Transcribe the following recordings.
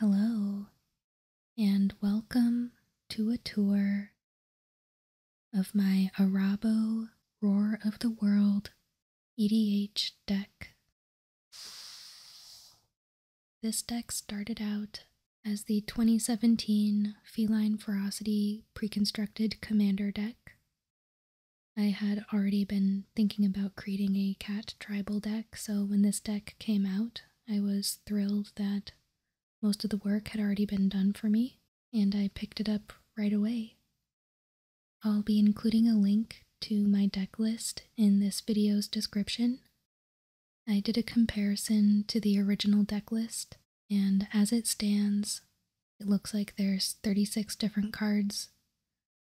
Hello, and welcome to a tour of my Arabo Roar of the World EDH deck. This deck started out as the 2017 Feline Ferocity Preconstructed Commander deck. I had already been thinking about creating a cat tribal deck, so when this deck came out, I was thrilled that most of the work had already been done for me, and I picked it up right away. I'll be including a link to my deck list in this video's description, I did a comparison to the original deck list, and as it stands, it looks like there's 36 different cards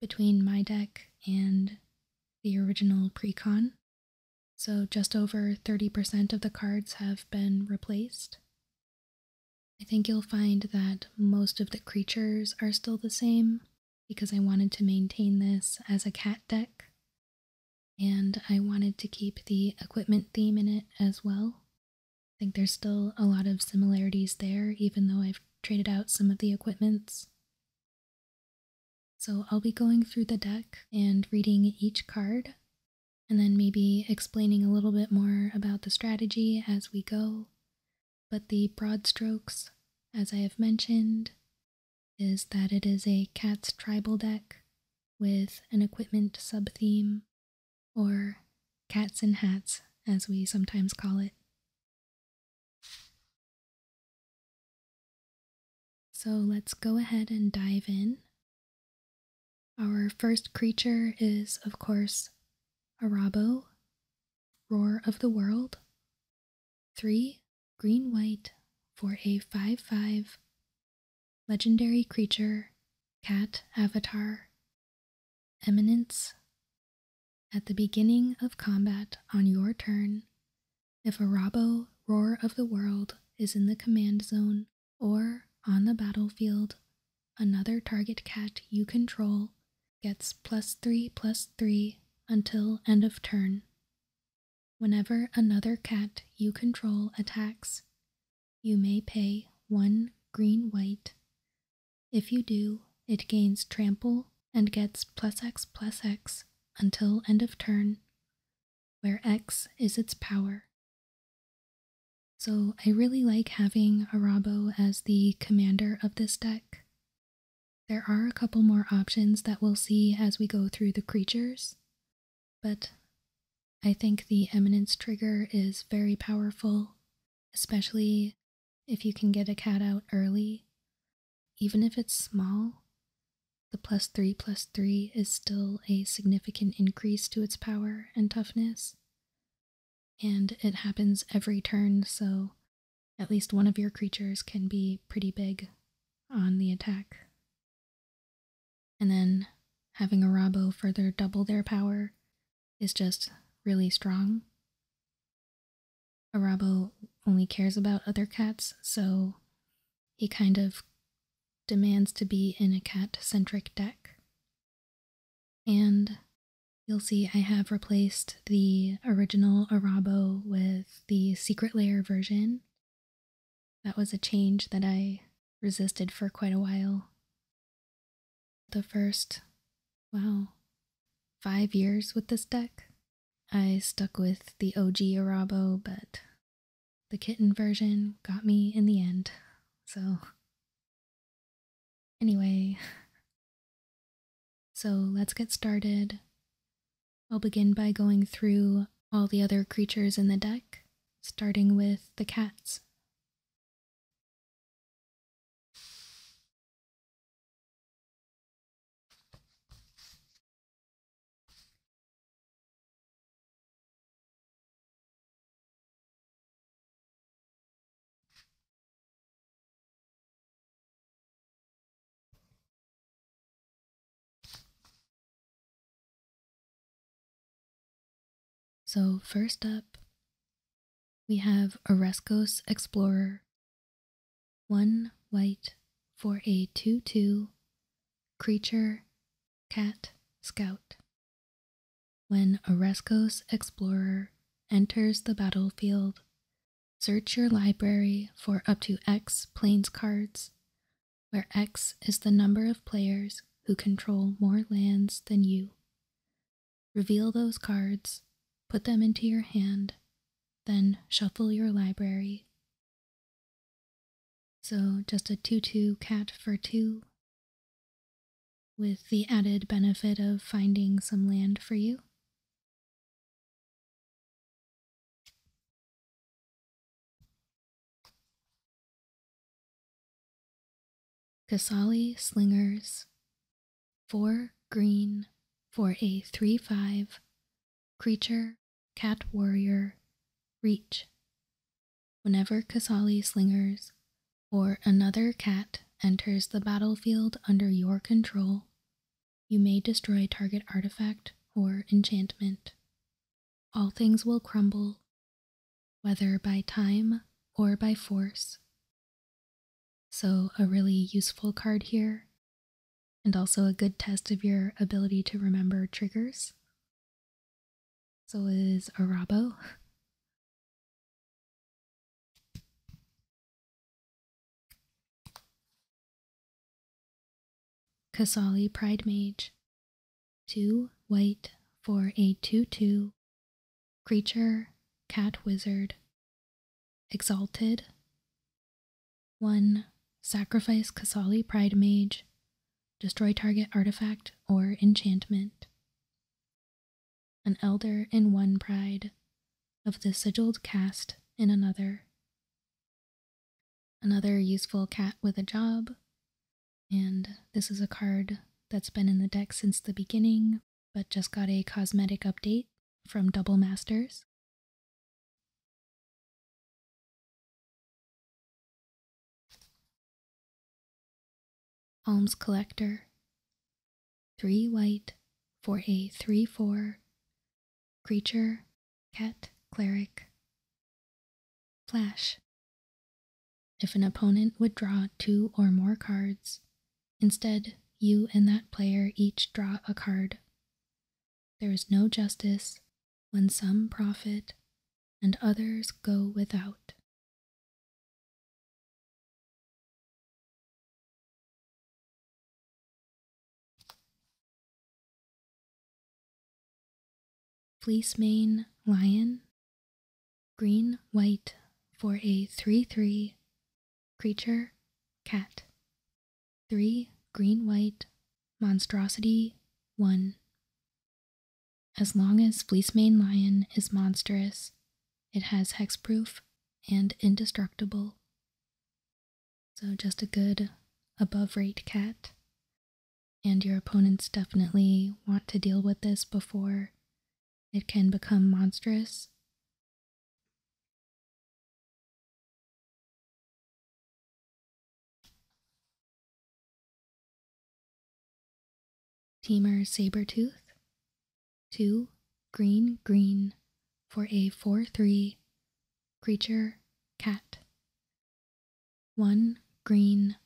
between my deck and the original precon. So just over 30% of the cards have been replaced. I think you'll find that most of the creatures are still the same because I wanted to maintain this as a cat deck and I wanted to keep the equipment theme in it as well. I think there's still a lot of similarities there, even though I've traded out some of the equipments. So I'll be going through the deck and reading each card, and then maybe explaining a little bit more about the strategy as we go. But the broad strokes, as I have mentioned, is that it is a cat's tribal deck with an equipment sub theme, or cats in hats, as we sometimes call it. So let's go ahead and dive in. Our first creature is, of course, Arabo, Roar of the World. 3. Green White for a 5 5 Legendary Creature, Cat Avatar, Eminence. At the beginning of combat on your turn, if a Rabo Roar of the World is in the command zone or on the battlefield, another target cat you control gets plus 3 plus 3 until end of turn. Whenever another cat you control attacks, you may pay one green white. If you do, it gains trample and gets plus x plus x until end of turn, where x is its power. So I really like having Arabo as the commander of this deck. There are a couple more options that we'll see as we go through the creatures, but I think the eminence trigger is very powerful, especially if you can get a cat out early. Even if it's small, the plus 3 plus 3 is still a significant increase to its power and toughness. And it happens every turn, so at least one of your creatures can be pretty big on the attack and then having a Rabo further double their power is just really strong. Arabo only cares about other cats, so he kind of demands to be in a cat-centric deck. And you'll see I have replaced the original Arabo with the Secret Layer version, that was a change that I resisted for quite a while. The first, wow, five years with this deck, I stuck with the OG Arabo, but the kitten version got me in the end, so. Anyway, so let's get started. I'll begin by going through all the other creatures in the deck starting with the cats. So, first up, we have Orescos Explorer 1 white for a 2 4822 creature cat scout. When Orescos Explorer enters the battlefield, search your library for up to X planes cards where X is the number of players who control more lands than you. Reveal those cards, put them into your hand, then shuffle your library. So just a 2-2 cat for 2, with the added benefit of finding some land for you. Casali Slingers 4 green four a 3 5 creature cat warrior reach. Whenever Casali Slingers or another cat enters the battlefield under your control, you may destroy target artifact or enchantment all things will crumble, whether by time or by force. So, a really useful card here, and also a good test of your ability to remember triggers. So is Arabo. Kasali Pride Mage. 2 white for a 2 2 creature cat wizard. Exalted. 1. Sacrifice Kasali Pride Mage. Destroy target artifact or enchantment. An elder in one pride, of the sigiled caste in another. Another useful cat with a job. And this is a card that's been in the deck since the beginning, but just got a cosmetic update from Double Masters. Alms Collector. Three white for a 3 4 creature Cat, Cleric, Flash. If an opponent would draw two or more cards, instead, you and that player each draw a card. There is no justice when some profit and others go without. Fleece mane lion, green white for a 3 3 creature cat. 3 green white monstrosity 1. As long as Fleece Mane Lion is monstrous, it has hex proof and indestructible. So just a good above rate cat and your opponents definitely want to deal with this before it can become monstrous. Teamer Sabertooth, 2 green green for a 4 3 creature cat 1. Green.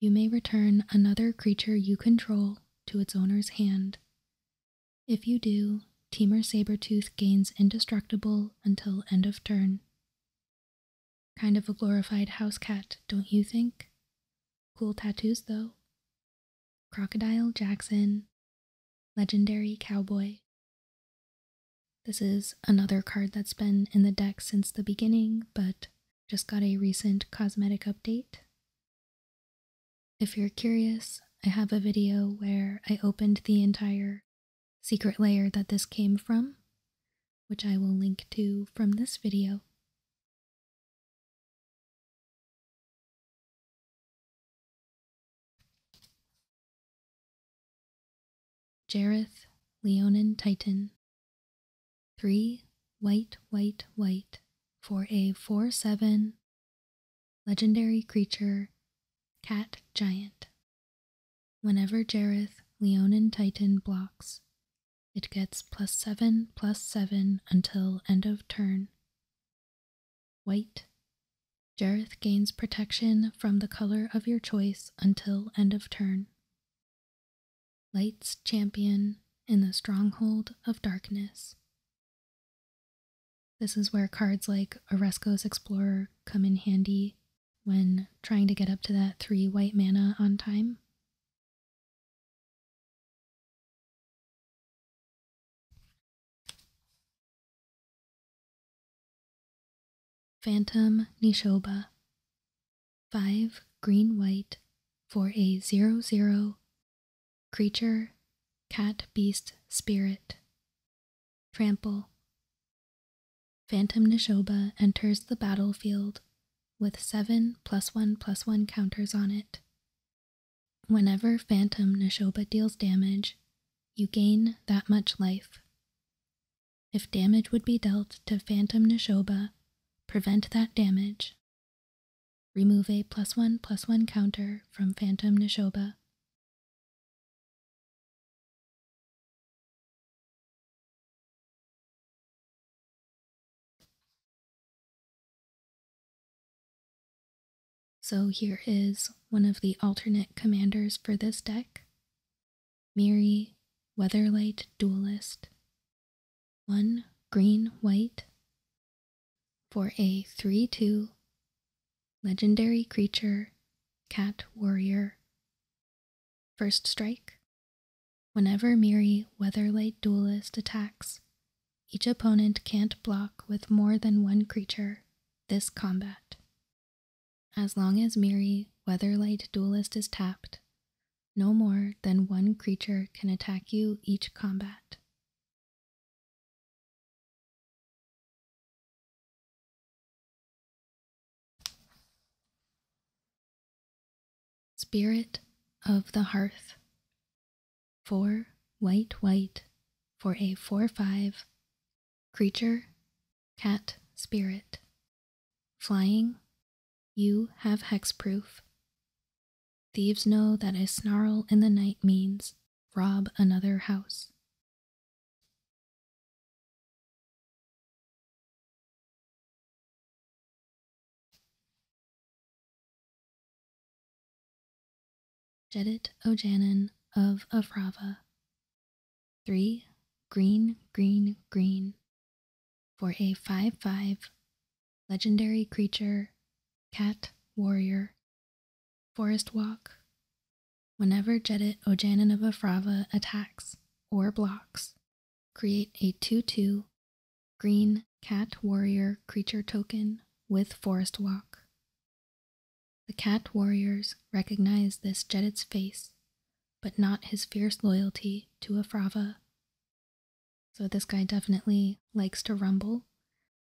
You may return another creature you control to its owner's hand. If you do, Teamer Sabertooth gains indestructible until end of turn. Kind of a glorified house cat, don't you think? Cool tattoos, though. Crocodile Jackson, Legendary Cowboy, this is another card that's been in the deck since the beginning, but just got a recent cosmetic update. If you're curious, I have a video where I opened the entire secret layer that this came from, which I will link to from this video. Jareth, Leonin Titan. Three white, white, white for a 4 7 legendary creature, Cat Giant. Whenever Jareth, Leonin Titan blocks, it gets plus 7 plus 7 until end of turn. White. Jareth gains protection from the color of your choice until end of turn. Light's champion in the stronghold of darkness. This is where cards like Oresco's Explorer come in handy when trying to get up to that 3 white mana on time. Phantom Nishoba 5 green white for a 0 0 creature cat beast spirit trample Phantom Nishoba enters the battlefield with 7 plus 1 plus 1 counters on it. Whenever Phantom Nishoba deals damage, you gain that much life if damage would be dealt to Phantom Nishoba, prevent that damage. Remove a plus one plus one counter from Phantom Nishoba. So here is one of the alternate commanders for this deck. Miri, Weatherlight Duelist, 1 green white, for a 3 2 legendary creature, Cat Warrior. First strike. Whenever Miri Weatherlight Duelist attacks, each opponent can't block with more than one creature this combat. As long as Miri, Weatherlight Duelist, is tapped, no more than one creature can attack you each combat. Spirit of the Hearth 4 white white for a 4 5 Creature, cat, spirit. Flying, you have hex proof. Thieves know that a snarl in the night means rob another house. Jedit Ojanen of Avrava 3. Green, green, green. For a 5 5 legendary creature, cat, warrior, forest walk. Whenever Jedit Ojanin of Afrava attacks or blocks, create a 2 2 green cat warrior creature token with forest walk. The cat warriors recognize this Jedit's face but not his fierce loyalty to a Frava. So this guy definitely likes to rumble.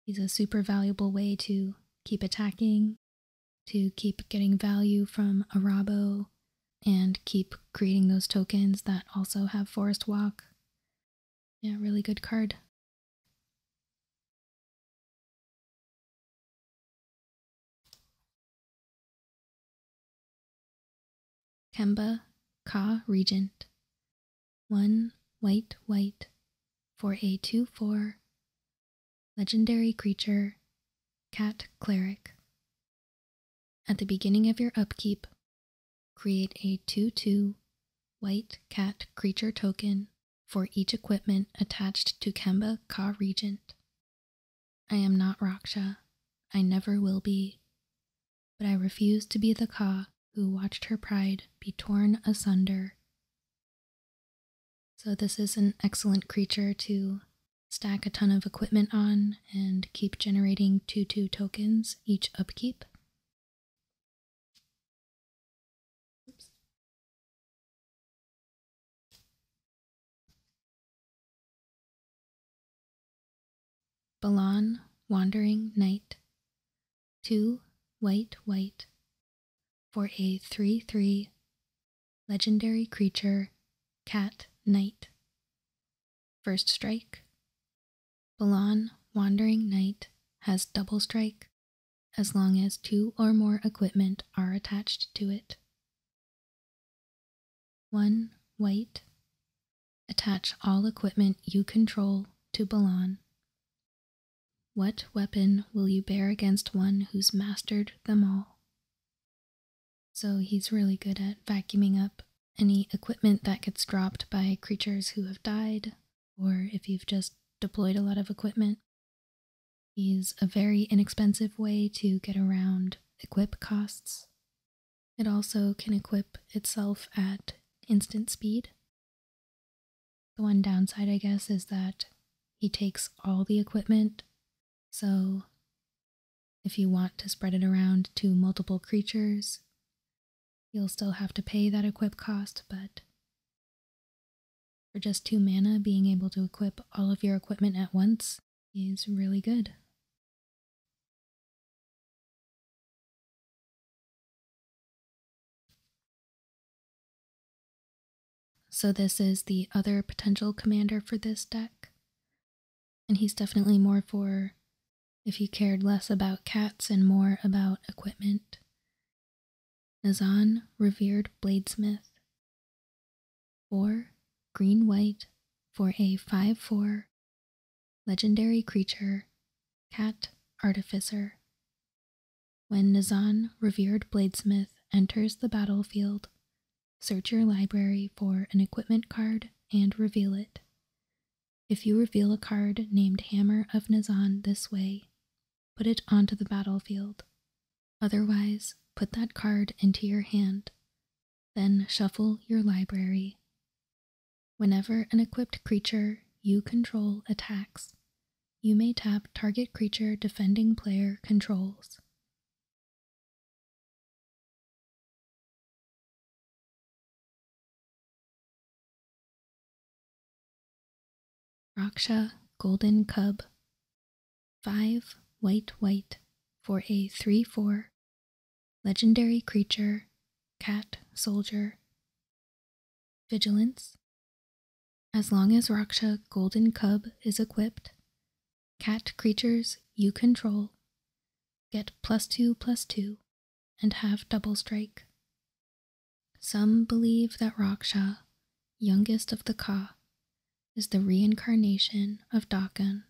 He's a super valuable way to keep attacking, to keep getting value from Arabo, and keep creating those tokens that also have Forest Walk. Yeah, really good card. Kemba Ka Regent. One white white for a two four legendary creature cat cleric. At the beginning of your upkeep, create a 2 2 white cat creature token for each equipment attached to Kemba Ka Regent. I am not Raksha. I never will be. But I refuse to be the Kha who watched her pride be torn asunder. So, this is an excellent creature to stack a ton of equipment on and keep generating 2 2 tokens each upkeep. Balan, Wandering Knight, 2 white white for a 3 3 legendary creature, Cat Knight. First strike. Balan, Wandering Knight has double strike as long as two or more equipment are attached to it. 1. White. Attach all equipment you control to Balan. What weapon will you bear against one who's mastered them all? So he's really good at vacuuming up any equipment that gets dropped by creatures who have died, or if you've just deployed a lot of equipment. He's a very inexpensive way to get around equip costs. It also can equip itself at instant speed. The one downside, I guess, is that he takes all the equipment, so if you want to spread it around to multiple creatures, you'll still have to pay that equip cost, but for just 2 mana, being able to equip all of your equipment at once is really good. So this is the other potential commander for this deck. And he's definitely more for if you cared less about cats and more about equipment. Nazan, revered bladesmith, Four green white for a 5 4 legendary creature, Cat Artificer. When Nazan, revered bladesmith, enters the battlefield, search your library for an equipment card and reveal it. If you reveal a card named Hammer of Nazan this way, put it onto the battlefield. Otherwise, put that card into your hand, then shuffle your library. Whenever an equipped creature you control attacks, you may tap target creature defending player controls. Raksha Golden Cub 5 white white for a 3 4 legendary creature, cat soldier. Vigilance. As long as Raksha Golden Cub is equipped, cat creatures you control get plus 2 plus 2 and have double strike. Some believe that Raksha, youngest of the Ka, is the reincarnation of Dakan,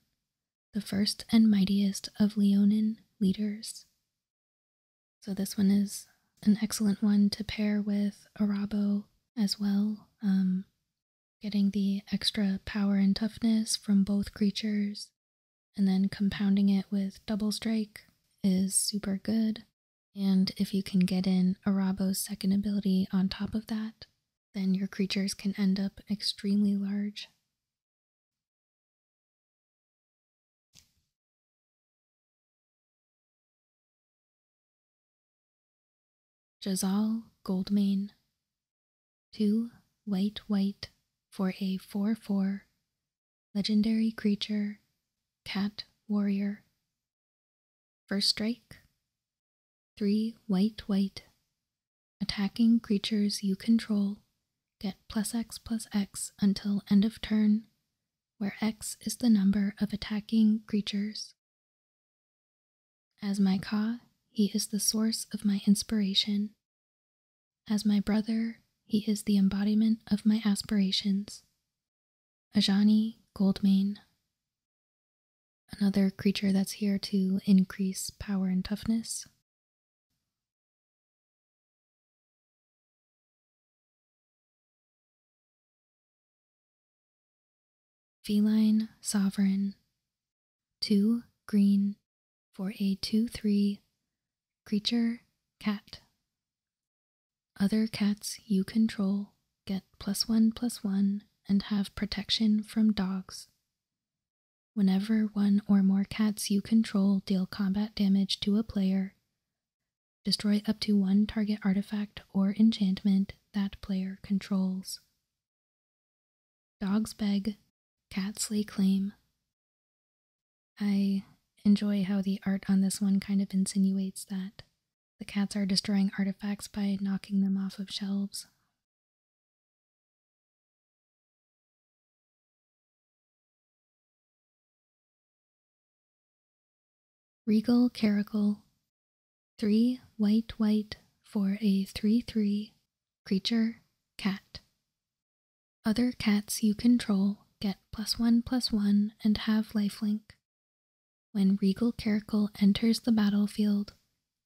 the first and mightiest of Leonin leaders. So, this one is an excellent one to pair with Arabo as well, um, getting the extra power and toughness from both creatures, and then compounding it with Double Strike is super good. And if you can get in Arabo's second ability on top of that, then your creatures can end up extremely large. Jazal Gold Mane, 2 white white for a 4 4 legendary creature, cat warrior. First strike, 3. White White. Attacking creatures you control. Get plus X plus X until end of turn, where X is the number of attacking creatures. As my Ka, he is the source of my inspiration. As my brother, he is the embodiment of my aspirations. Ajani Goldmane. Another creature that's here to increase power and toughness. Feline Sovereign 2 green for a 2 3 creature cat. Other cats you control get plus 1 plus 1 and have protection from dogs Whenever one or more cats you control deal combat damage to a player, destroy up to one target artifact or enchantment that player controls. Dogs beg, cats lay claim. I enjoy how the art on this one kind of insinuates that. The cats are destroying artifacts by knocking them off of shelves, Regal Caracal, three white white for a 3 3 creature cat. Other cats you control get plus 1 plus 1 and have lifelink. When Regal Caracal enters the battlefield,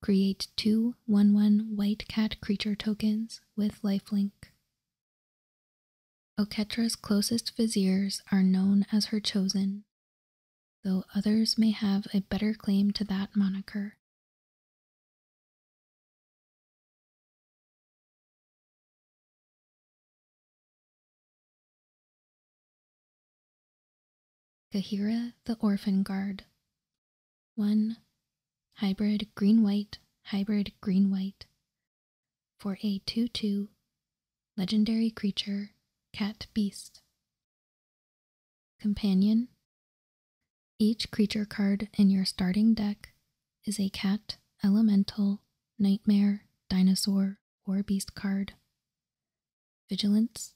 Create two one-one White Cat creature tokens with lifelink. Oketra's closest viziers are known as her chosen, though others may have a better claim to that moniker. Kahira the Orphan Guard 1. Hybrid Green White, Hybrid Green White. For a 2 2 legendary creature, Cat Beast. Companion Each creature card in your starting deck is a cat, elemental, nightmare, dinosaur, or beast card vigilance.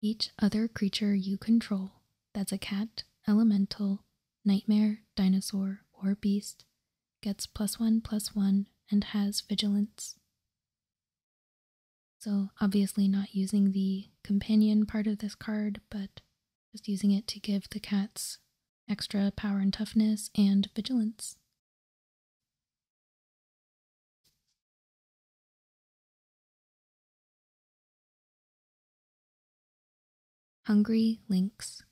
Each other creature you control that's a cat, elemental, nightmare, dinosaur, or beast gets plus one plus one and has vigilance. So, obviously, not using the companion part of this card, but just using it to give the cats extra power and toughness and vigilance. Hungry Lynx.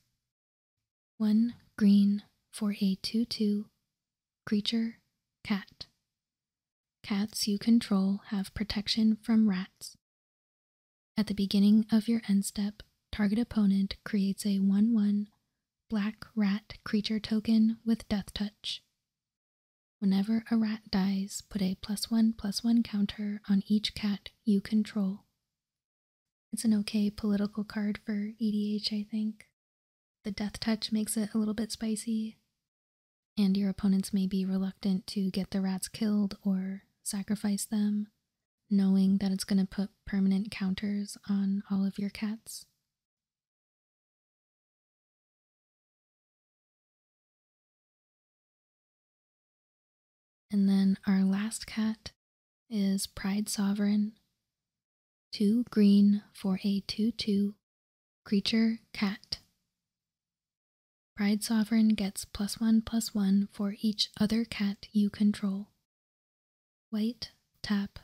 One green for a 2 2 creature cat. Cats you control have protection from rats. At the beginning of your end step, target opponent creates a 1 1 black rat creature token with death touch. Whenever a rat dies, put a plus one plus one counter on each cat you control. It's an okay political card for EDH, I think. The death touch makes it a little bit spicy, and your opponents may be reluctant to get the rats killed or sacrifice them, knowing that it's going to put permanent counters on all of your cats. And then our last cat is Pride Sovereign. Two green for a 2 2 creature cat. Pride Sovereign gets plus 1 plus 1 for each other cat you control. White, tap,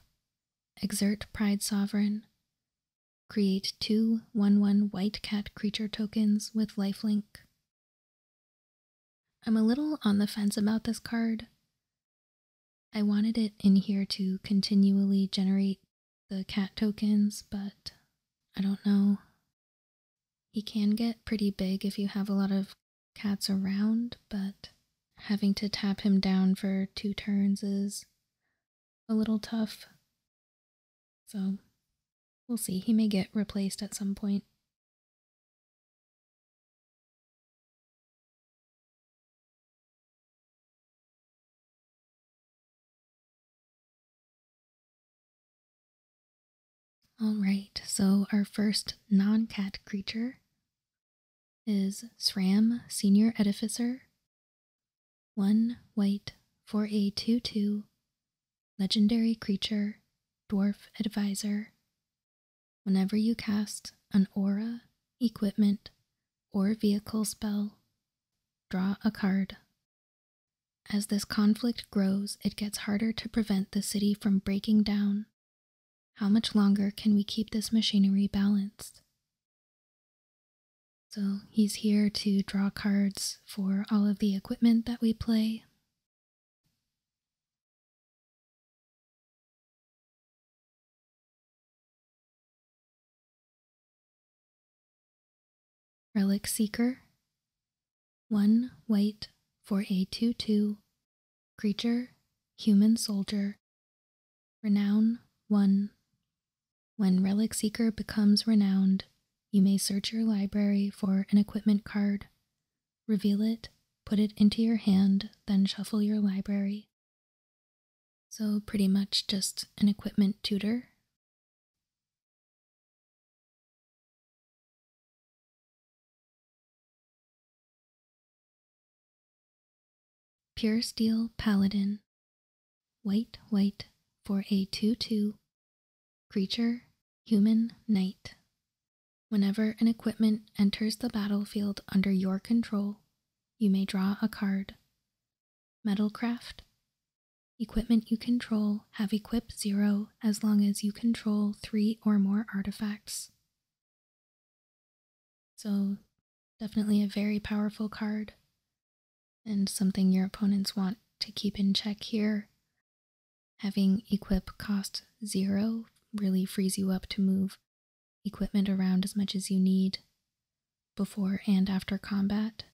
exert Pride Sovereign, Create two one-one white cat creature tokens with lifelink. I'm a little on the fence about this card. I wanted it in here to continually generate the cat tokens, but I don't know. He can get pretty big if you have a lot of cats around, but having to tap him down for two turns is a little tough. So we'll see. He may get replaced at some point. All right, so our first non cat creature is SRAM Senior Edificer one white for a 2 2 legendary creature, dwarf advisor. Whenever you cast an aura, equipment, or vehicle spell, draw a card. As this conflict grows, it gets harder to prevent the city from breaking down. How much longer can we keep this machinery balanced? So he's here to draw cards for all of the equipment that we play. Relic Seeker, 1 white for a 2 2, creature, human soldier, renown 1, when Relic Seeker becomes renowned, you may search your library for an equipment card, reveal it, put it into your hand, then shuffle your library. So, pretty much just an equipment tutor. Pure Steel Paladin Wait, wait for a 2 2 creature, human, knight. Whenever an equipment enters the battlefield under your control, you may draw a card. Metalcraft. Equipment you control have equip 0 as long as you control 3 or more artifacts. So, definitely a very powerful card and something your opponents want to keep in check here. Having equip cost zero really frees you up to move equipment around as much as you need before and after combat.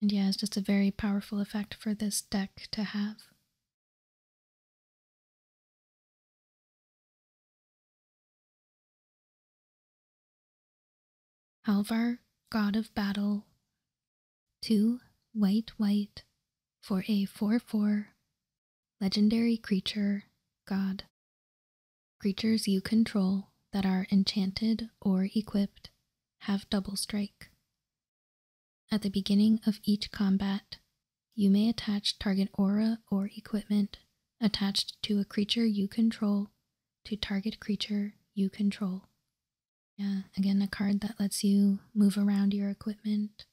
And yeah, it's just a very powerful effect for this deck to have. Halvar, God of Battle, 2 white white for a 4-4 legendary creature, God. Creatures you control that are enchanted or equipped have double strike. At the beginning of each combat, you may attach target aura or equipment attached to a creature you control to target creature you control. Yeah, again, a card that lets you move around your equipment.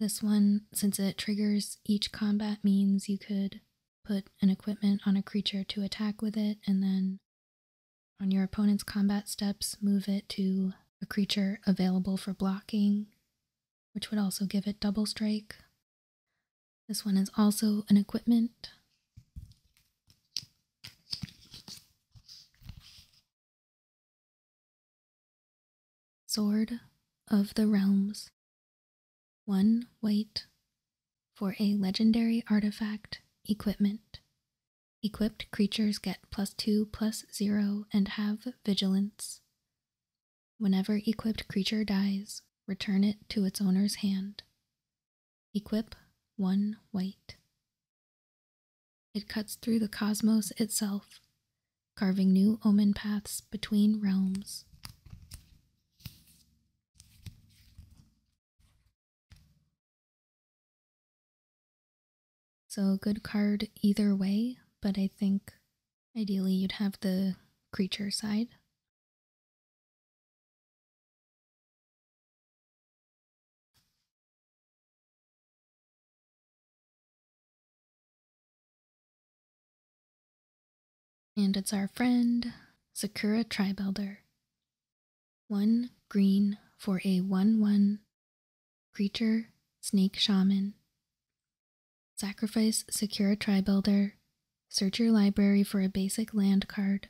This one, since it triggers each combat, means you could put an equipment on a creature to attack with it, and then on your opponent's combat steps, move it to a creature available for blocking, which would also give it double strike. This one is also an equipment. Sword of the Realms. One white for a legendary artifact equipment. Equipped creatures get plus two plus zero and have vigilance. Whenever equipped creature dies, return it to its owner's hand. Equip one white. It cuts through the cosmos itself, carving new omen paths between realms. So, good card either way, but I think ideally you'd have the creature side and it's our friend, Sakura Tribe Elder. One green for a 1 1 creature snake shaman. Sacrifice Sakura Tribe Elder. Search your library for a basic land card.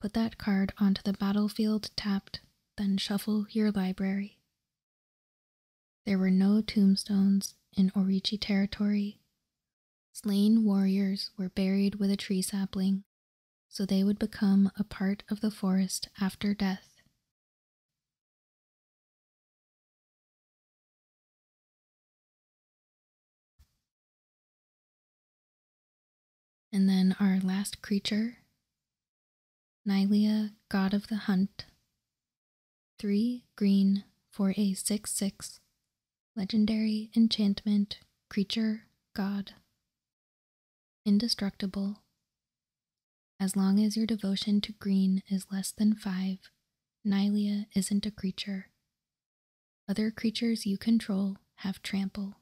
Put that card onto the battlefield tapped, then shuffle your library. There were no tombstones in Orichi territory. Slain warriors were buried with a tree sapling, so they would become a part of the forest after death. And then our last creature, Nylea, God of the Hunt. Three green for a 6 6 legendary enchantment, creature, god. Indestructible. As long as your devotion to green is less than five, Nylea isn't a creature. Other creatures you control have trample.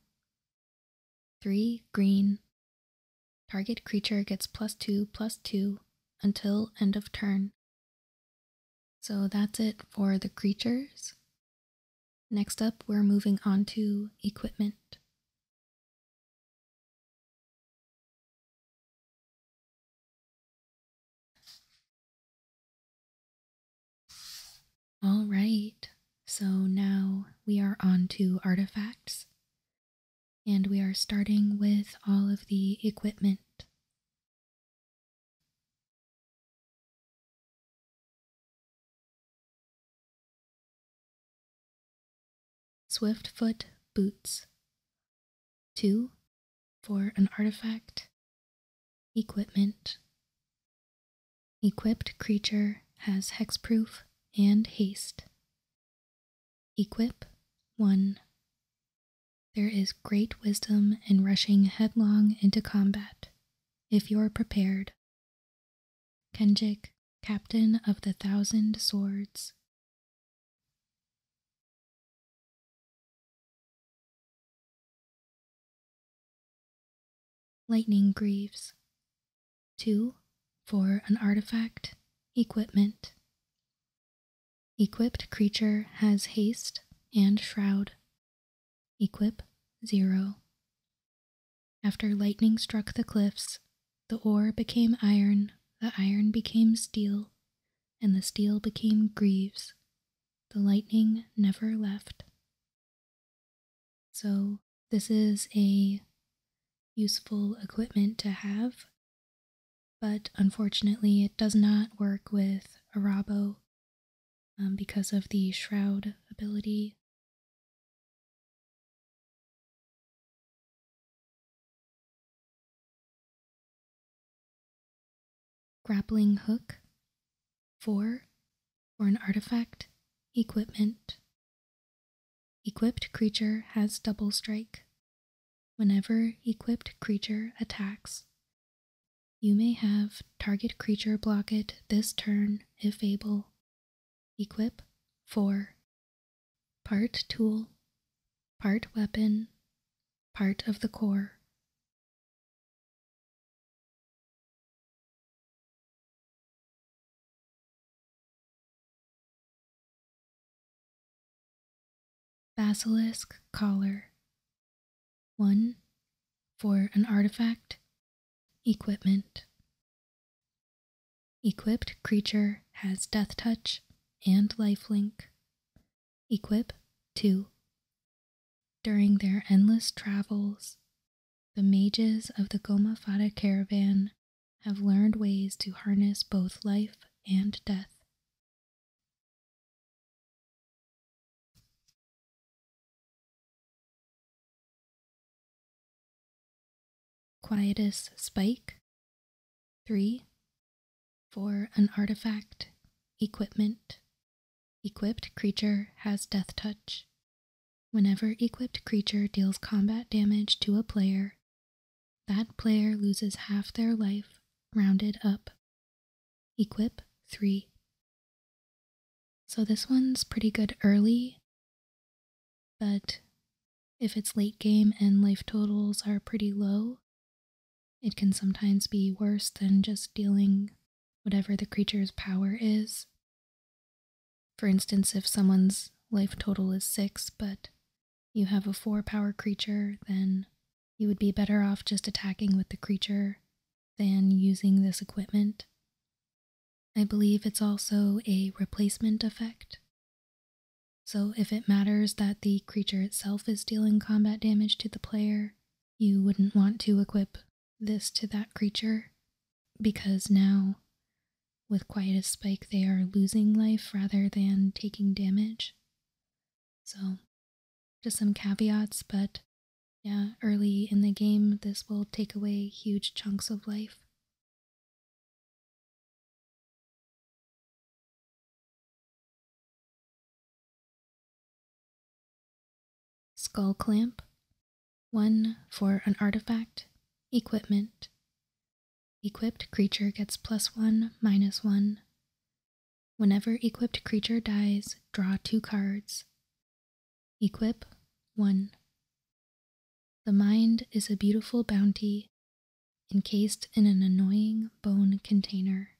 3. Green. Target creature gets plus 2 plus 2 until end of turn. So that's it for the creatures. Next up, we're moving on to equipment. All right, so now we are on to artifacts. And we are starting with all of the equipment. Swiftfoot Boots. 2. For an artifact, Equipment Equipped creature has hexproof and haste. Equip 1. There is great wisdom in rushing headlong into combat, if you're prepared. Kenjik, Captain of the Thousand Swords. Lightning Greaves. 2. For an artifact, equipment. Equipped creature has haste and shroud. Equip 0. After lightning struck the cliffs, the ore became iron, the iron became steel, and the steel became greaves. The lightning never left. So, this is a useful equipment to have, but unfortunately, it does not work with Arabo um, because of the shroud ability grappling hook, four for an artifact, equipment. Equipped creature has double strike. Whenever equipped creature attacks, you may have target creature block it this turn if able. Equip 4. Part tool, part weapon, part of the core, Basilisk Collar 1. For an artifact, equipment. Equipped creature has Death Touch and life link. Equip 2 during their endless travels, the mages of the Gomafada caravan have learned ways to harness both life and death. Quietus Spike. 3. For an artifact, equipment, Equipped creature has death touch. Whenever equipped creature deals combat damage to a player, that player loses half their life, rounded up. Equip 3. So this one's pretty good early, but if it's late game and life totals are pretty low, it can sometimes be worse than just dealing whatever the creature's power is. For instance, if someone's life total is six, but you have a four power creature, then you would be better off just attacking with the creature than using this equipment. I believe it's also a replacement effect. So if it matters that the creature itself is dealing combat damage to the player, you wouldn't want to equip this to that creature because now, with Quiet a Spike, they are losing life rather than taking damage. So, just some caveats, but yeah, early in the game, this will take away huge chunks of life. Skull clamp. One for an artifact, equipment. Equipped creature gets plus one, minus one. Whenever equipped creature dies, draw two cards. Equip, one. The mind is a beautiful bounty encased in an annoying bone container.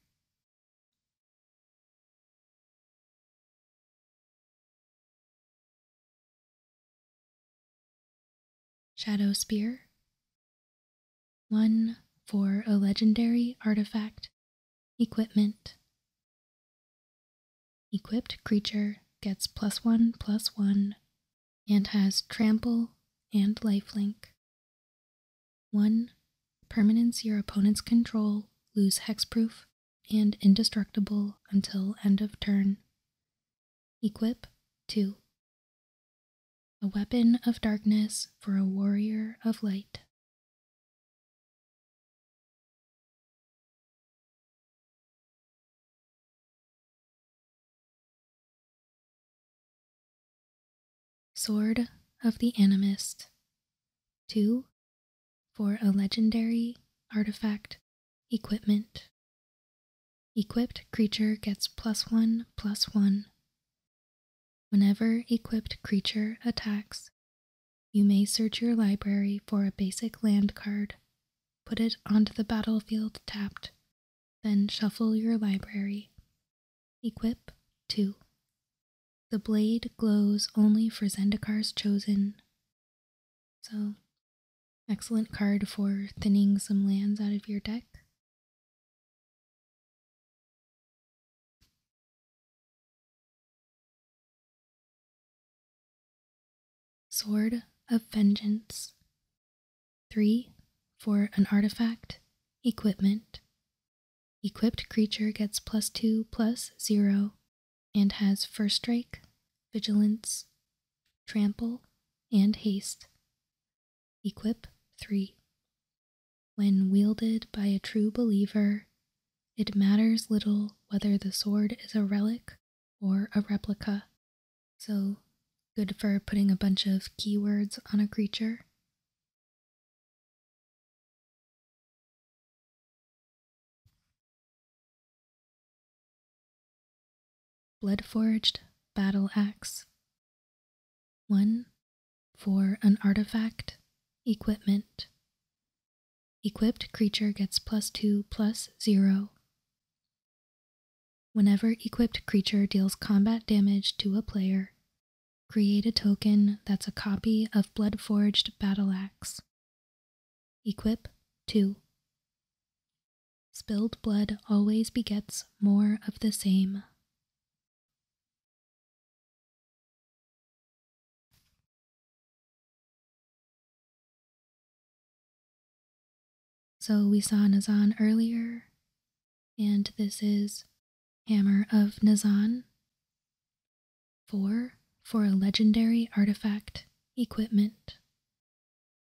Shadow Spear. One for a legendary artifact, equipment. Equipped creature gets plus one plus one and has trample and lifelink. One, permanence your opponent's control lose hexproof and indestructible until end of turn. Equip 2. A weapon of darkness for a warrior of light. Sword of the Animist. 2 for a legendary artifact, equipment. Equipped creature gets plus one plus one. Whenever equipped creature attacks, you may search your library for a basic land card, put it onto the battlefield tapped, then shuffle your library. Equip 2. The blade glows only for Zendikar's chosen. So, excellent card for thinning some lands out of your deck. Sword of Vengeance. 3. For an artifact, equipment, Equipped creature gets plus 2 plus 0 and has First Strike, Vigilance, Trample, and Haste. Equip 3. When wielded by a true believer, it matters little whether the sword is a relic or a replica. So, good for putting a bunch of keywords on a creature. Bloodforged Battle Axe. 1. For an artifact, equipment. Equipped creature gets plus 2 plus 0. Whenever equipped creature deals combat damage to a player, create a token that's a copy of Bloodforged Battle Axe. Equip 2. Spilled blood always begets more of the same. So we saw Nazan earlier, and this is Hammer of Nazan. 4. For a legendary artifact, equipment.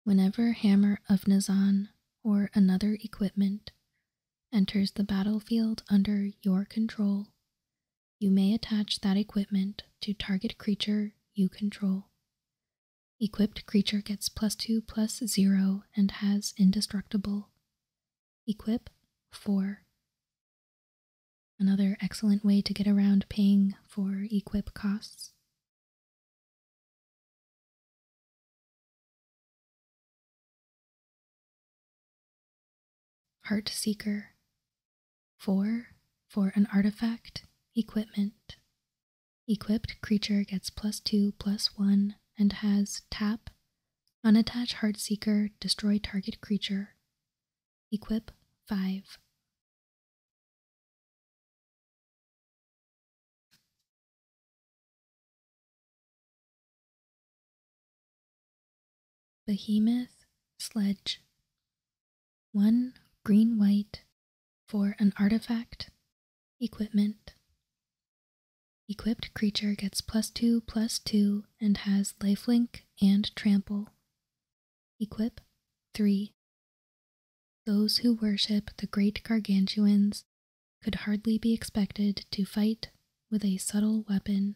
Whenever Hammer of Nazan or another equipment enters the battlefield under your control, you may attach that equipment to target creature you control. Equipped creature gets plus 2 plus 0 and has indestructible. Equip 4. Another excellent way to get around paying for equip costs. Heart Seeker. 4. For an artifact, equipment. Equipped creature gets plus 2, plus 1, and has tap, unattach Seeker, destroy target creature. Equip 5. Behemoth Sledge. One green white for an artifact. Equipment. Equipped creature gets plus two plus two and has lifelink and trample Equip 3. Those who worship the great gargantuans could hardly be expected to fight with a subtle weapon.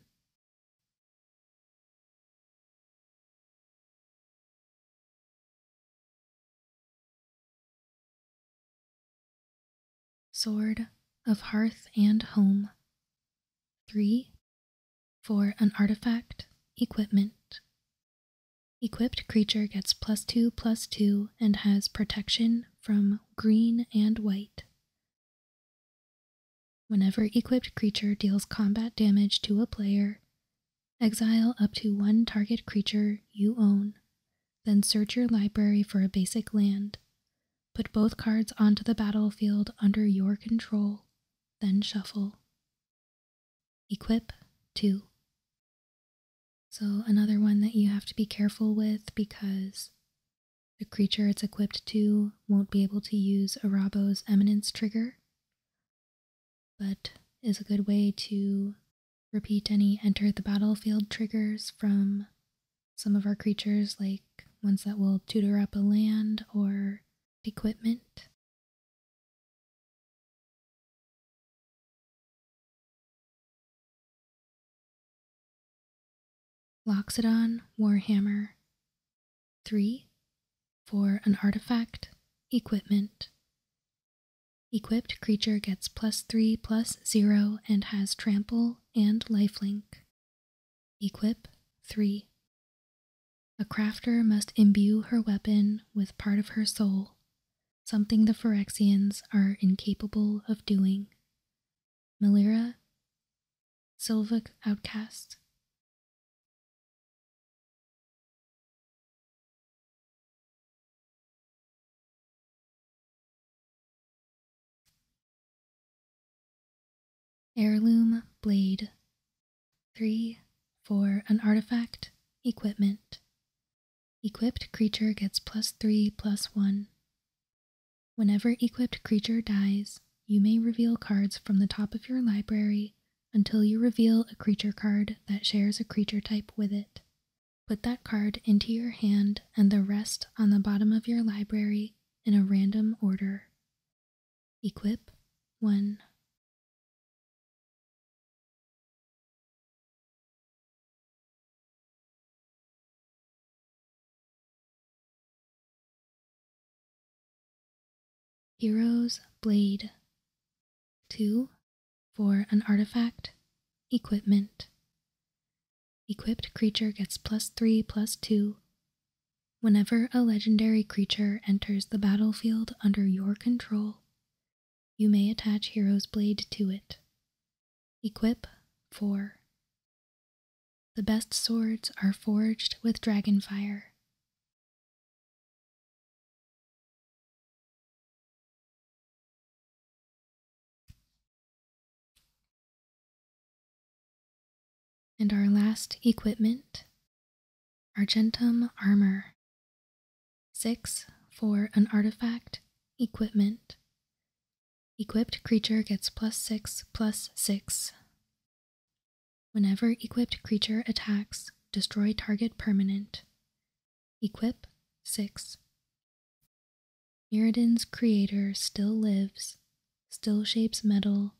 Sword of Hearth and Home. 3. For an artifact, equipment. Equipped creature gets plus 2 plus 2 and has protection from green and white. Whenever equipped creature deals combat damage to a player, exile up to one target creature you own, then search your library for a basic land. Put both cards onto the battlefield under your control, then shuffle. Equip 2. So, another one that you have to be careful with because the creature it's equipped to won't be able to use Arabo's Eminence trigger, but is a good way to repeat any enter the battlefield triggers from some of our creatures, like ones that will tutor up a land or equipment Loxodon Warhammer 3 for an artifact equipment. Equipped creature gets plus 3 plus 0 and has trample and lifelink. Equip 3. A crafter must imbue her weapon with part of her soul, something the Phyrexians are incapable of doing. Malira, Sylvic Outcast. Heirloom blade. 3. For an artifact, equipment. Equipped creature gets plus 3 plus 1. Whenever equipped creature dies, you may reveal cards from the top of your library until you reveal a creature card that shares a creature type with it. Put that card into your hand and the rest on the bottom of your library in a random order. Equip 1. Hero's Blade 2 for an artifact, equipment. Equipped creature gets plus 3 plus 2 Whenever a legendary creature enters the battlefield under your control, you may attach Hero's Blade to it. Equip 4. The best swords are forged with dragonfire. And our last equipment, Argentum Armor. 6 for an artifact, equipment. Equipped creature gets plus 6 plus 6. Whenever equipped creature attacks, destroy target permanent. Equip 6. Mirrodin's creator still lives, still shapes metal,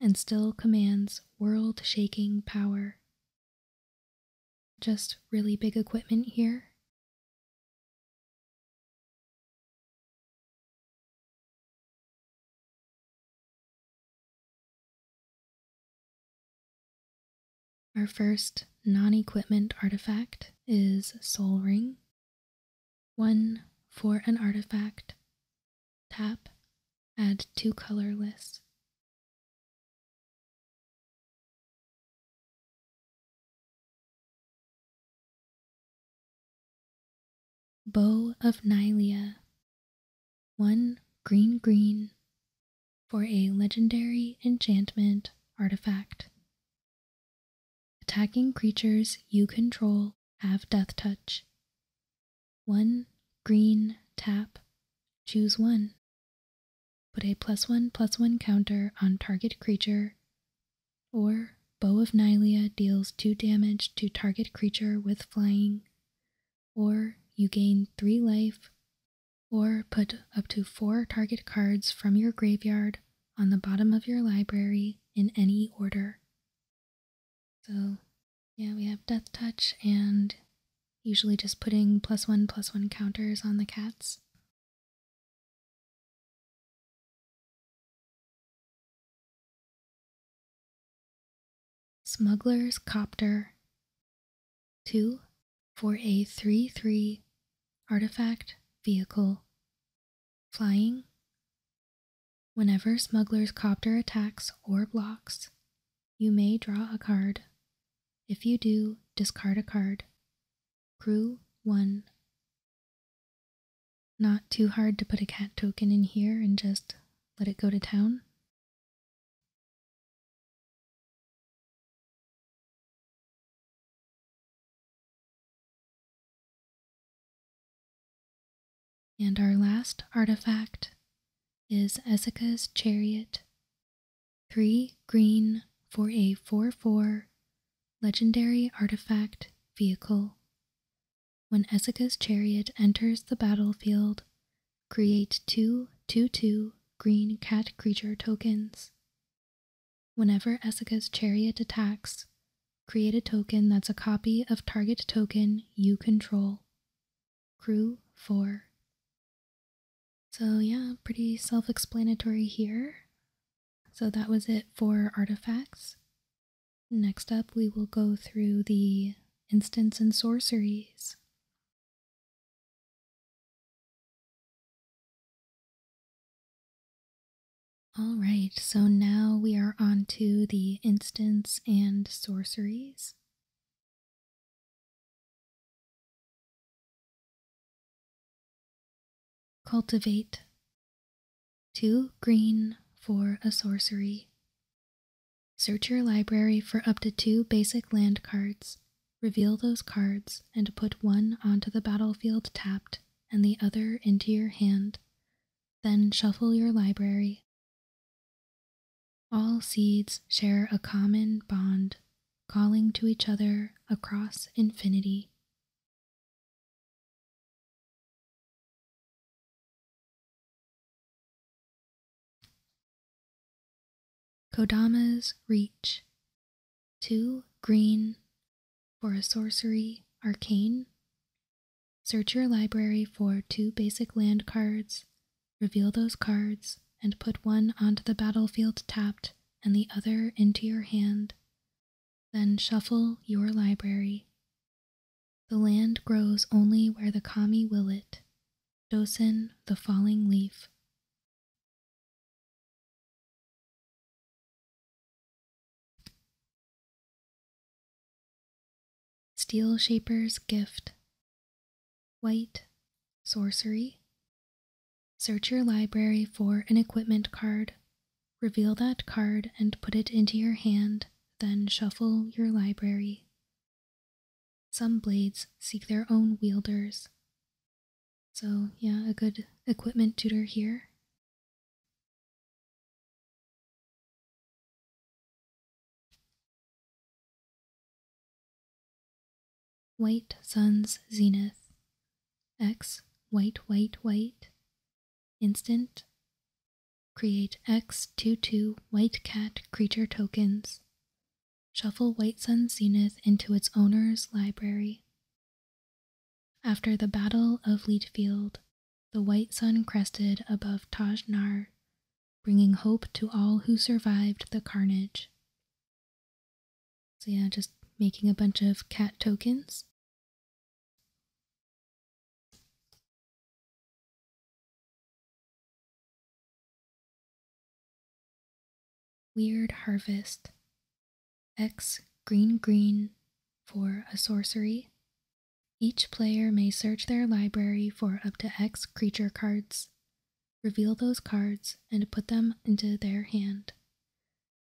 and still commands world shaking power. Just really big equipment here. Our first non equipment artifact is Soul Ring. 1 for an artifact. Tap, add two colorless. Bow of Nylea. 1 green green for a legendary enchantment artifact. Attacking creatures you control have Death Touch. One green tap. Choose one. Put a plus one plus one counter on target creature, or Bow of Nylea deals two damage to target creature with flying, or you gain three life, or put up to four target cards from your graveyard on the bottom of your library in any order. So, yeah, we have Death Touch and usually just putting plus one plus one counters on the cats. Smuggler's Copter 2 four, a 3 3 artifact vehicle flying Whenever Smuggler's Copter attacks or blocks, you may draw a card. If you do, discard a card. Crew 1. Not too hard to put a cat token in here and just let it go to town. And our last artifact is Ezeka's Chariot. Three green for a 4 4 legendary artifact vehicle. When Ezeka's Chariot enters the battlefield, create two 2 2 green cat creature tokens. Whenever Ezeka's Chariot attacks, Create a token that's a copy of target token you control. Crew 4. So yeah, pretty self-explanatory here. So that was it for artifacts. Next up, we will go through the instants and sorceries. Alright, so now we are on the the and sorceries. Cultivate. Two green for a sorcery. Search your library for up to two basic land cards. Reveal those cards and put one onto the battlefield tapped and the other into your hand. Then shuffle your library all seeds share a common bond, calling to each other across infinity. Kodama's Reach. Two green for a sorcery arcane Search your library for two basic land cards, reveal those cards, and put one onto the battlefield tapped and the other into your hand. Then shuffle your library. The land grows only where the kami will it. Dosen, the falling leaf. Steel Shaper's Gift, White, Sorcery. Search your library for an equipment card. Reveal that card and put it into your hand, then shuffle your library. Some blades seek their own wielders. So, yeah, a good equipment tutor here. White Sun's Zenith X white white white instant create X22 white cat creature tokens shuffle White Sun's Zenith into its owner's library after the Battle of Leadfield the white sun crested above Taj Nar, bringing hope to all who survived the carnage. So, yeah, just making a bunch of cat tokens. Weird Harvest. X green green for a sorcery each player may search their library for up to X creature cards, reveal those cards, and put them into their hand.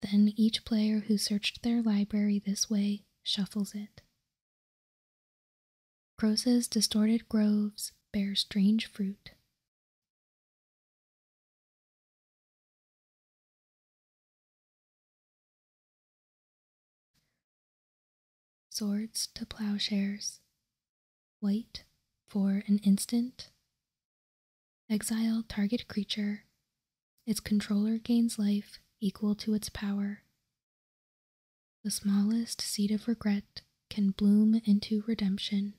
Then each player who searched their library this way shuffles it. Croesus' distorted groves bear strange fruit. Swords to plowshares, wait for an instant. Exile target creature. Its controller gains life equal to its power. The smallest seed of regret can bloom into redemption.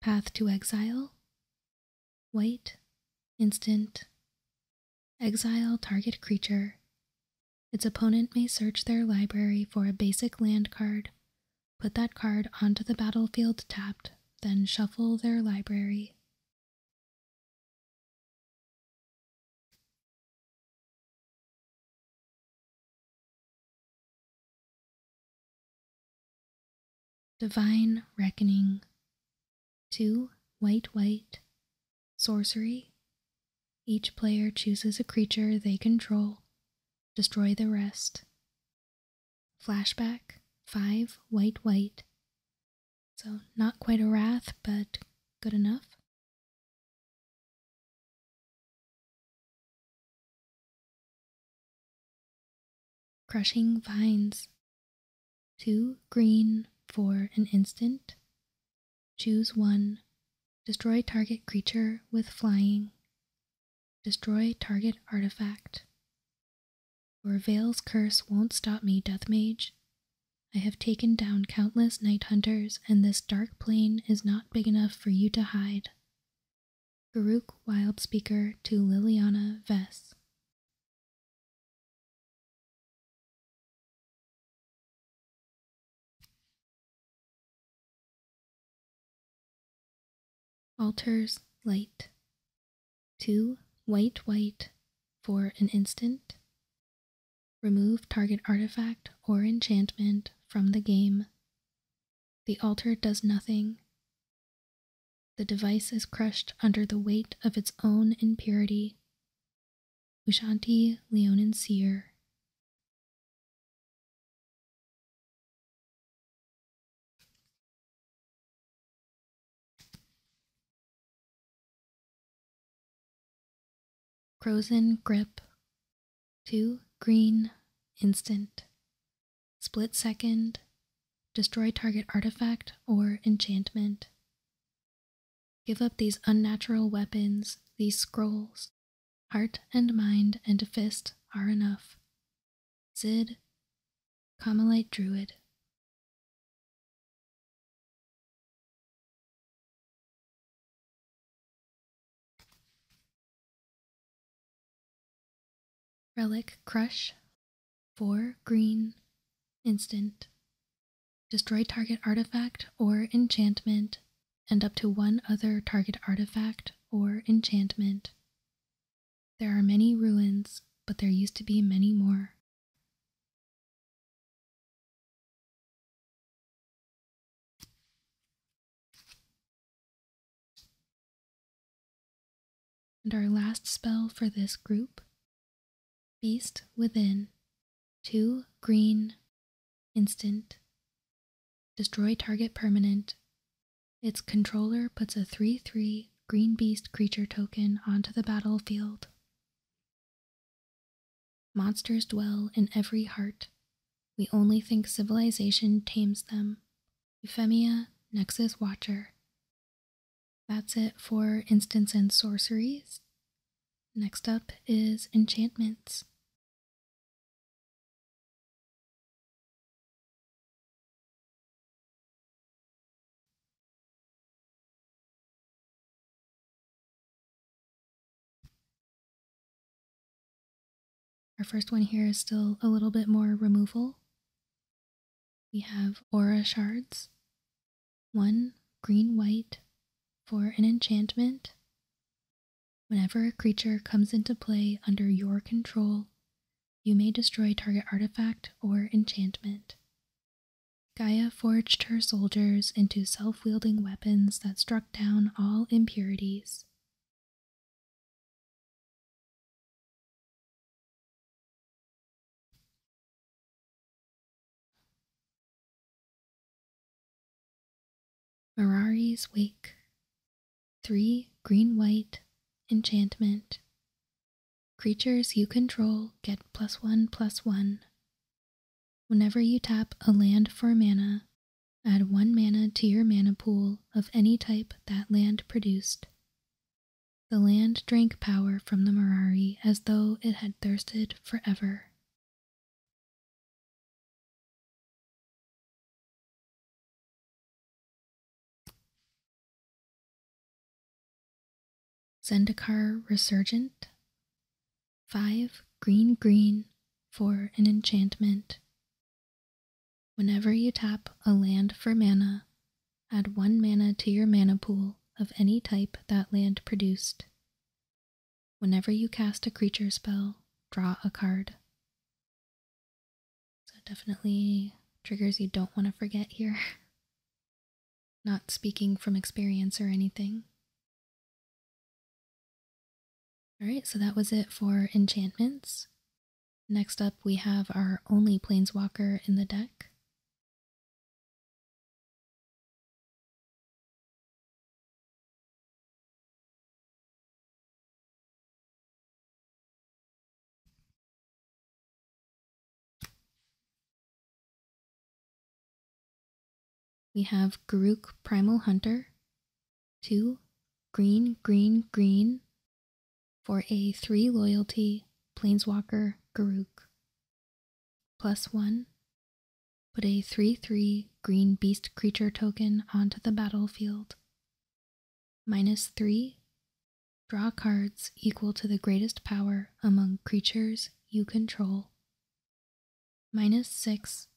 Path to Exile, White, Instant, Exile target creature. Its opponent may search their library for a basic land card, put that card onto the battlefield tapped, then shuffle their library. Divine Reckoning 2. White White Sorcery Each player chooses a creature they control. Destroy the rest. Flashback 5. White White So, not quite a wrath, but good enough. Crushing vines. Two green for an instant. Choose one. Destroy target creature with flying. Destroy target artifact. Your Veil's curse won't stop me, Deathmage. I have taken down countless night hunters, and this dark plain is not big enough for you to hide. Farouk Wildspeaker to Liliana Vess. Alters light. Two white white for an instant. Remove target artifact or enchantment from the game. The altar does nothing. The device is crushed under the weight of its own impurity. Ushanti Leonin Seer. Frozen Grip Two, green, instant. Split second, destroy target artifact or enchantment. Give up these unnatural weapons, these scrolls. Heart and mind and fist are enough. Zid, Carmelite Druid. Relic Crush, for green, instant. Destroy target artifact or enchantment, and up to one other target artifact or enchantment. There are many ruins, but there used to be many more. And our last spell for this group Beast Within, two green, instant, destroy target permanent. Its controller puts a 3 3 green beast creature token onto the battlefield. Monsters dwell in every heart. We only think civilization tames them. Euphemia, Nexus Watcher. That's it for instants and sorceries. Next up is enchantments. Our first one here is still a little bit more removal. We have aura shards. One green white for an enchantment. Whenever a creature comes into play under your control, you may destroy target artifact or enchantment. Gaia forged her soldiers into self wielding weapons that struck down all impurities, Mirari's Wake. Three green white enchantment. Creatures you control get plus one plus one. Whenever you tap a land for mana, Add one mana to your mana pool of any type that land produced. The land drank power from the Mirari as though it had thirsted forever. Zendikar Resurgent. 5 green green for an enchantment Whenever you tap a land for mana, add one mana to your mana pool of any type that land produced. Whenever you cast a creature spell, draw a card. So definitely triggers you don't want to forget here. Not speaking from experience or anything. Alright, so that was it for enchantments. Next up, we have our only planeswalker in the deck. We have Garuk Primal Hunter, two green green green for a three loyalty Plainswalker Garuk. Plus one put a three three green beast creature token onto the battlefield. Minus three draw cards equal to the greatest power among creatures you control. Minus six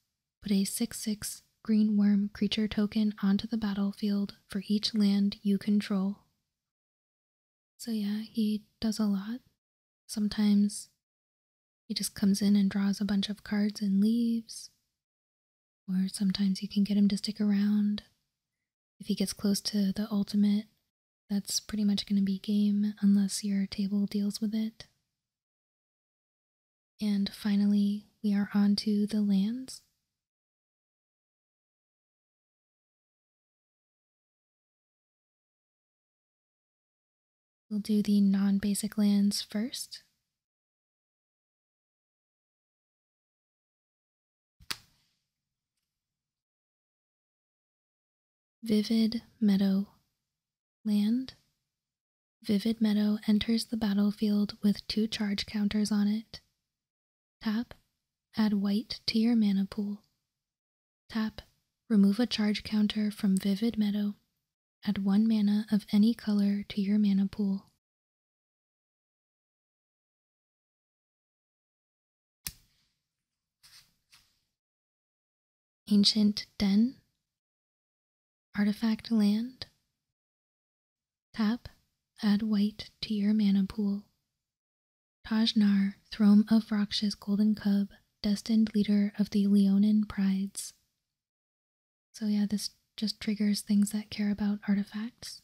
Put a 6 6 green worm creature token onto the battlefield for each land you control. So, yeah, he does a lot. Sometimes he just comes in and draws a bunch of cards and leaves. Or sometimes you can get him to stick around. If he gets close to the ultimate, that's pretty much going to be game unless your table deals with it. And finally, we are on to the lands. We'll do the non-basic lands first. Vivid Meadow Land Vivid Meadow enters the battlefield with two charge counters on it. Tap, add white to your mana pool. Tap, remove a charge counter from Vivid Meadow. Add one mana of any color to your mana pool. Ancient Den Artifact land. Tap, add white to your mana pool. Tajnar, Throne of Raksh's Golden Cub, destined leader of the Leonin Prides. So, yeah, this just triggers things that care about artifacts.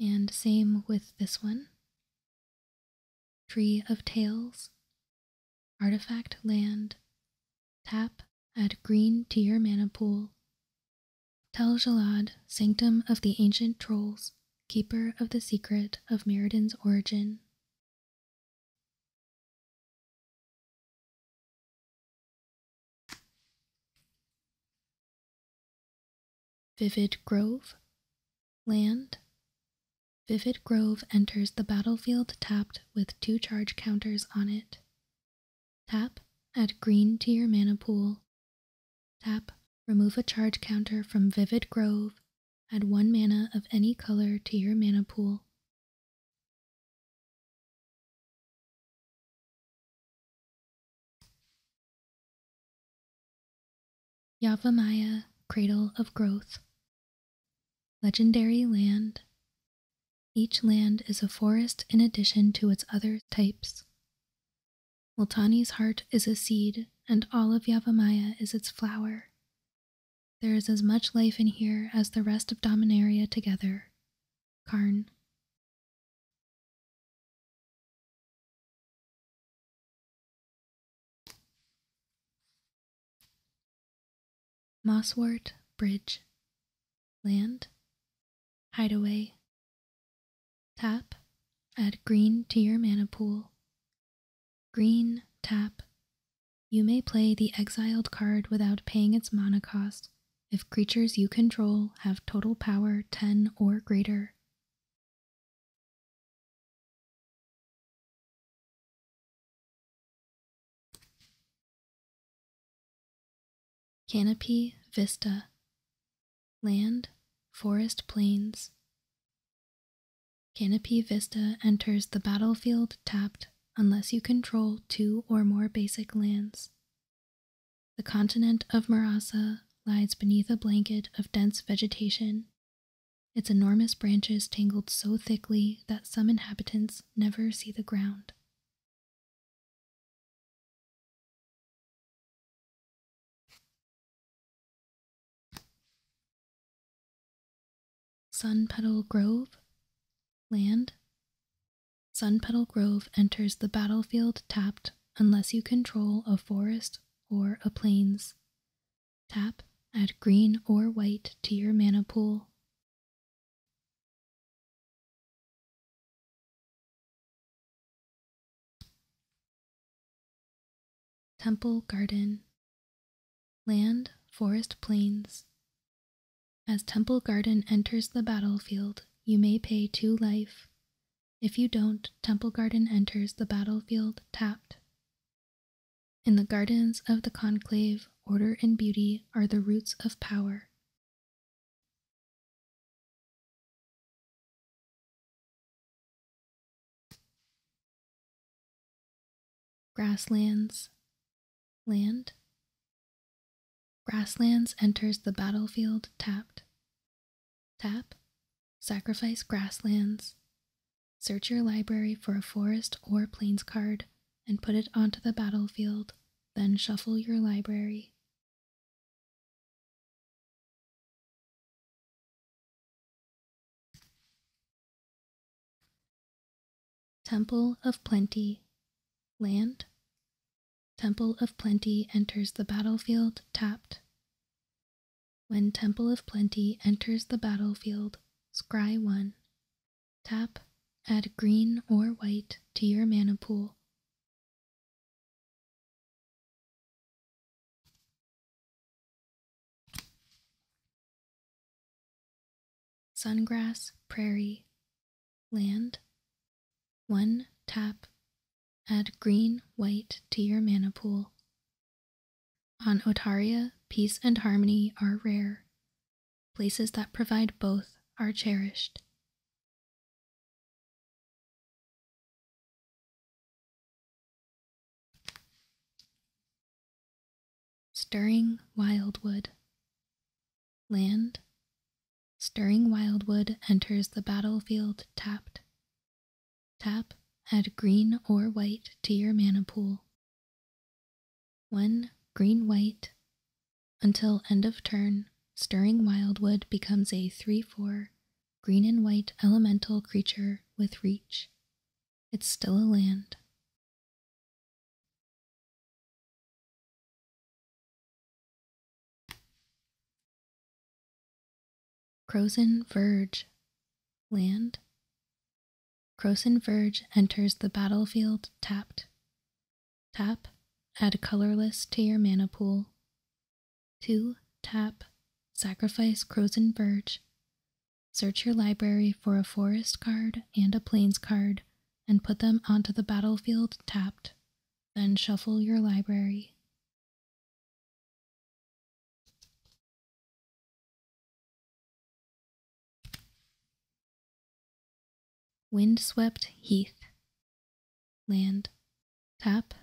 And same with this one. Tree of Tales, Artifact Land, Tap at Green Tier Mana Pool, Tel Jalad, Sanctum of the Ancient Trolls, Keeper of the Secret of Meriden Origin. Vivid Grove Land Vivid Grove enters the battlefield tapped with two charge counters on it. Tap, add green to your mana pool. Tap, remove a charge counter from Vivid Grove, add one mana of any color to your mana pool. Yavamaya, Cradle of Growth. Legendary land. Each land is a forest in addition to its other types. Multani's heart is a seed, and all of Yavamaya is its flower. There is as much life in here as the rest of Dominaria together. Karn. Mosswort, Bridge, Land, Hideaway, Tap, add green to your mana pool. Green, tap. You may play the exiled card without paying its mana cost if creatures you control have total power 10 or greater. Canopy Vista Land, Forest Plains Canopy Vista enters the battlefield tapped unless you control two or more basic lands. The continent of Marasa lies beneath a blanket of dense vegetation. Its enormous branches tangled so thickly that some inhabitants never see the ground. Sun Petal Grove Land Sun Petal Grove enters the battlefield tapped unless you control a forest or a plains. Tap, add green or white to your mana pool. Temple Garden Land, Forest Plains As Temple Garden enters the battlefield, you may pay two life if you don't, Temple Garden enters the battlefield tapped. In the gardens of the conclave, order and beauty are the roots of power. Grasslands, land. Grasslands enters the battlefield tapped. Tap, sacrifice grasslands, search your library for a forest or plains card and put it onto the battlefield, then shuffle your library. Temple of Plenty Land Temple of Plenty enters the battlefield tapped. When Temple of Plenty enters the battlefield, scry 1. Tap, add green or white to your mana pool. Sungrass Prairie Land 1 tap Add green white to your mana pool. On Otaria, peace and harmony are rare. Places that provide both are cherished. Stirring Wildwood. Land. Stirring Wildwood enters the battlefield tapped. Tap, add green or white to your mana pool. 1. Green white until end of turn, Stirring Wildwood becomes a 3 4 green and white elemental creature with reach. It's still a land. Crozen Verge Land Croson Verge enters the battlefield tapped. Tap, add colorless to your mana pool. 2. Tap, sacrifice Croson Verge. Search your library for a forest card and a plains card and put them onto the battlefield tapped. Then shuffle your library. Windswept heath, land, tap,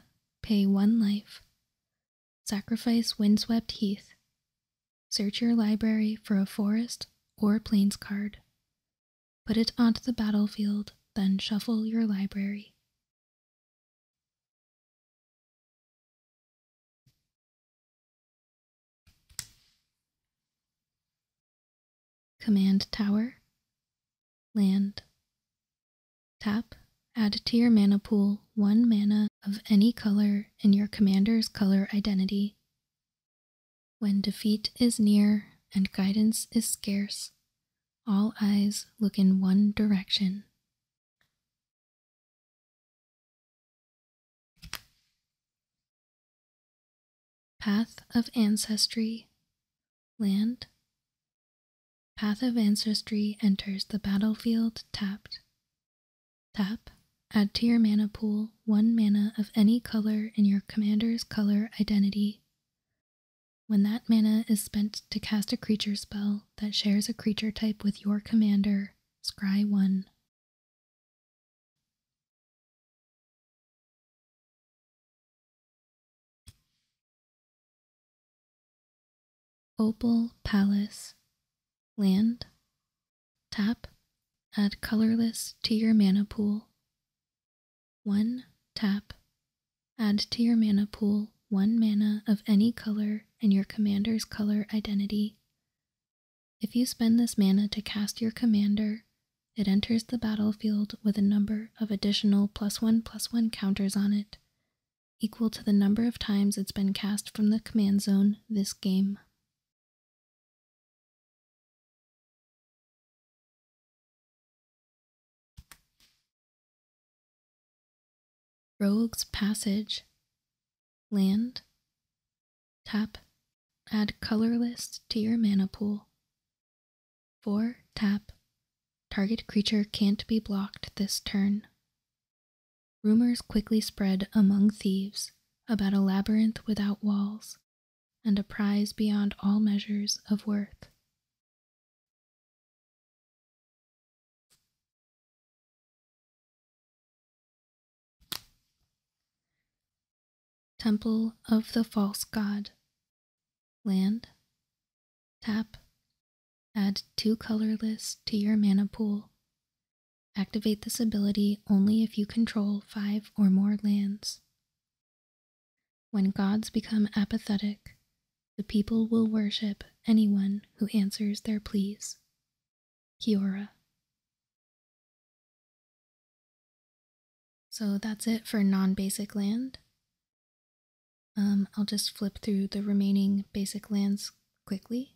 pay one life, sacrifice windswept heath, search your library for a forest or plains card, put it onto the battlefield, then shuffle your library, Command Tower, Land. Tap, add to your mana pool one mana of any color in your commander's color identity. When defeat is near and guidance is scarce, all eyes look in one direction. Path of Ancestry Land Path of Ancestry enters the battlefield tapped. Tap. Add to your mana pool one mana of any color in your commander's color identity. When that mana is spent to cast a creature spell that shares a creature type with your commander, scry 1. Opal Palace Land Tap Add colorless to your mana pool. 1. Tap. Add to your mana pool one mana of any color and your commander's color identity. If you spend this mana to cast your commander, it enters the battlefield with a number of additional plus one plus one counters on it, equal to the number of times it's been cast from the command zone this game. Rogue's Passage, Land, Tap, add colorless to your mana pool. 4. Tap, target creature can't be blocked this turn. Rumors quickly spread among thieves about a labyrinth without walls and a prize beyond all measures of worth. Temple of the False God. Land. Tap. Add two colorless to your mana pool. Activate this ability only if you control five or more lands. When gods become apathetic, the people will worship anyone who answers their pleas. Kia So that's it for non basic land. Um, I'll just flip through the remaining basic lands quickly.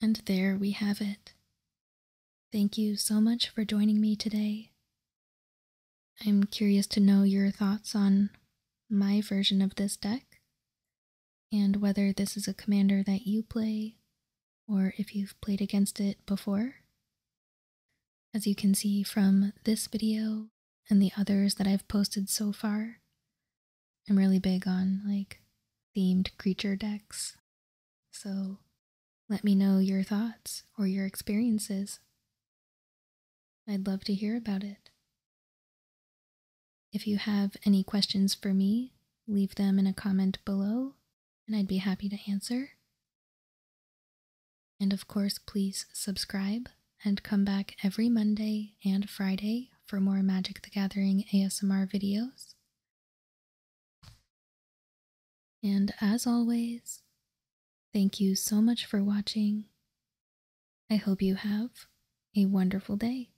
And there we have it. Thank you so much for joining me today. I'm curious to know your thoughts on my version of this deck, and whether this is a commander that you play, or if you've played against it before. As you can see from this video, and the others that I've posted so far. I'm really big on like themed creature decks. So let me know your thoughts or your experiences. I'd love to hear about it. If you have any questions for me, leave them in a comment below and I'd be happy to answer. And of course, please subscribe and come back every Monday and Friday for more Magic the Gathering ASMR videos. And as always, thank you so much for watching. I hope you have a wonderful day.